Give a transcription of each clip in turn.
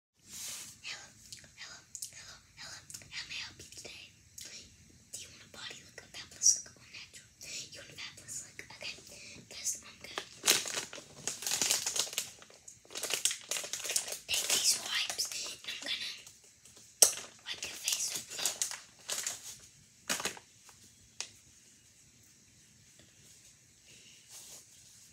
Hello, hello, hello, hello. How may I help you today? Do you want a body look, a fabulous look, or natural? You want a fabulous look? Okay, first I'm gonna take these wipes and I'm gonna wipe your face with them.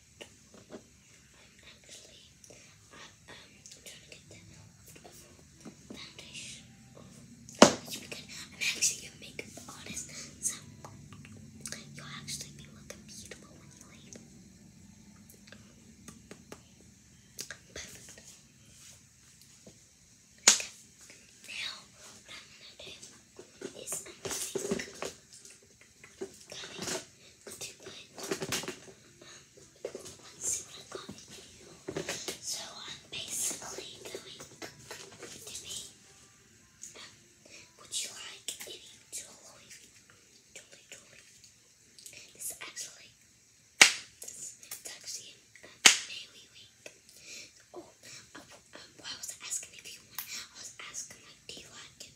actually, I, um, I'm trying to get the foundation off. That should be I'm actually a makeup artist, so you'll actually be looking beautiful when you leave. Now, what I'm going to do is i Oh, I So I'm basically going to be. would you like any jewelry? Jewelry, jewelry. This is actually. This is actually a Maui week. Oh, um, I was asking if you want. I was asking like, do you like it?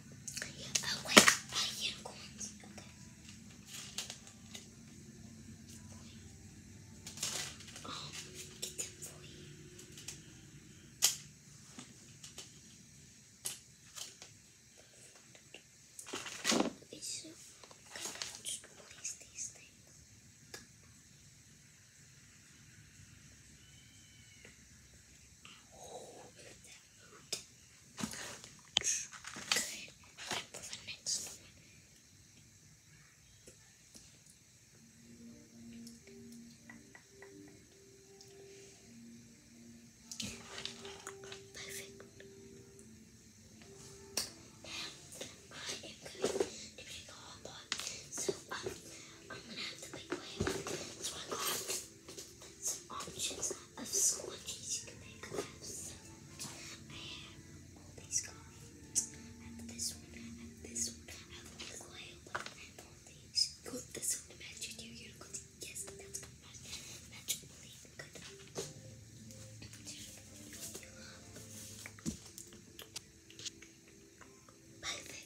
Oh, wait, Okay. Um, get them for you. Okay, just place these things. Oh, Good. Time Perfect. Now I am going to make a hot pot. So um, I'm gonna have to make my so I got options of squatties you can make I have all these cards. And this one, and this one. I have a coil one and all these. this one matches your unicorns. Yes, that's going Perfect.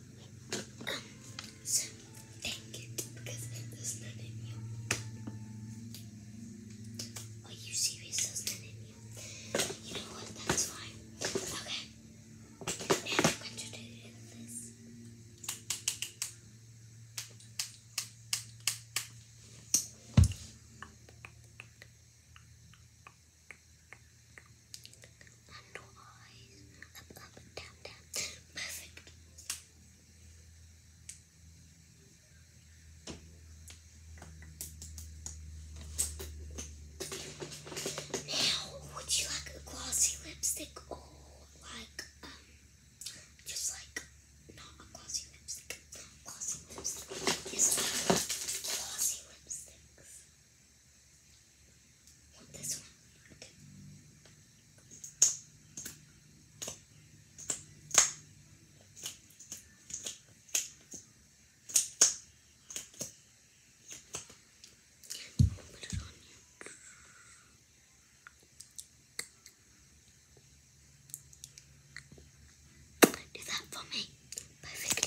so take it because there's none you. Are you serious? There's none you. You know what? That's fine. Okay. Now I'm going to do this. And eyes. Up, up, down, down. Perfect. Now, would you like a glossy lipstick or like, um, just like, not a glossy lipstick, glossy lipstick, glossy lipsticks want this one. Put you. Do that for me. Perfect.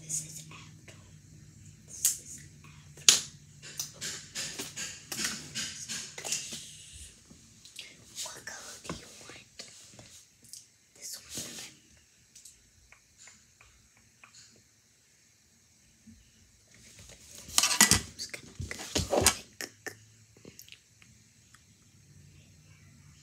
This is apple. This is apple. What color do you want? This one.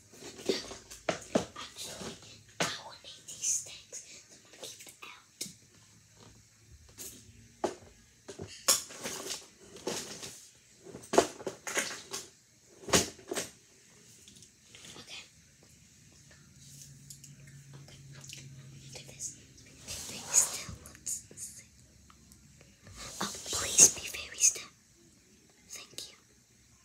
Actually, I will need these things. I'm to keep them out. Okay. Okay. Do still. Let's see. Oh, please be very still. Thank you.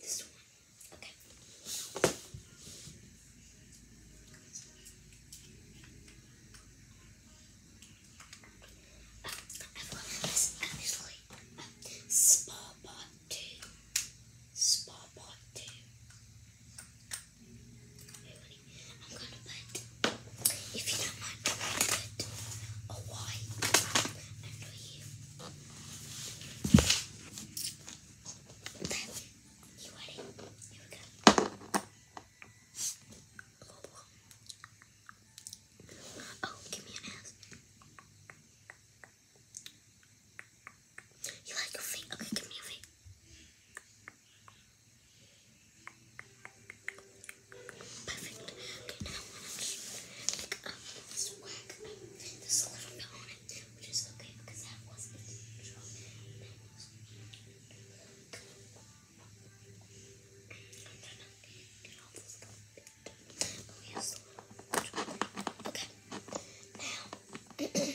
This one. Okay. Oh, I've this actually. Uh, um, Spa 2. Spa Bot 2. I'm going to put, if you don't mind, I'm going to put a Y under you. You ready? Here we go. Oh, give me an ass. You like your feet? Okay, give me your feet. Perfect. Okay, now I'm just pick up this whack. There's a little bit on it which is okay because that was the intro. Okay. Now, okay. Okay.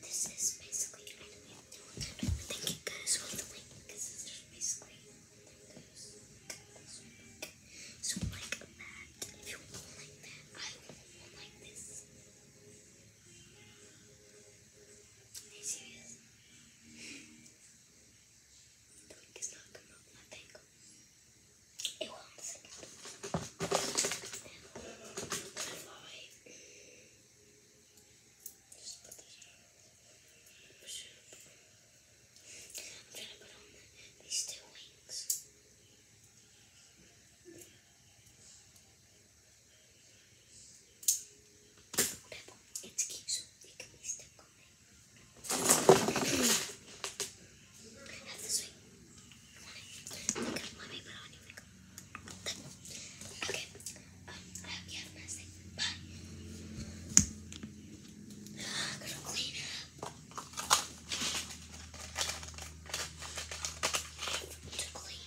This is basically the way to Thank you guys the link because So like that. If you want like that, I will like this. Are you serious? The link is not come up, I think. It will in a second. Just put this on. I'm trying to put on these two wings. Whatever, it's cute, so it can be stuck on me. Have this way. Come on in. Make up, mommy, put on your makeup. Okay. Um, I hope you have a nice day. Bye. i to clean up. To clean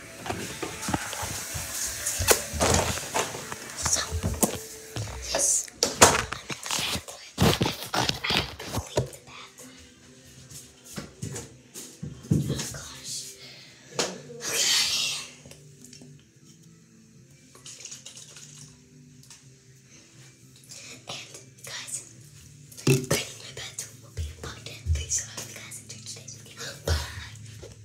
So, yes, I'm in the bathroom. I have to clean the bathroom. Oh gosh. Okay. And guys, cleaning my bathroom will be important. So I hope you guys today's video. Bye.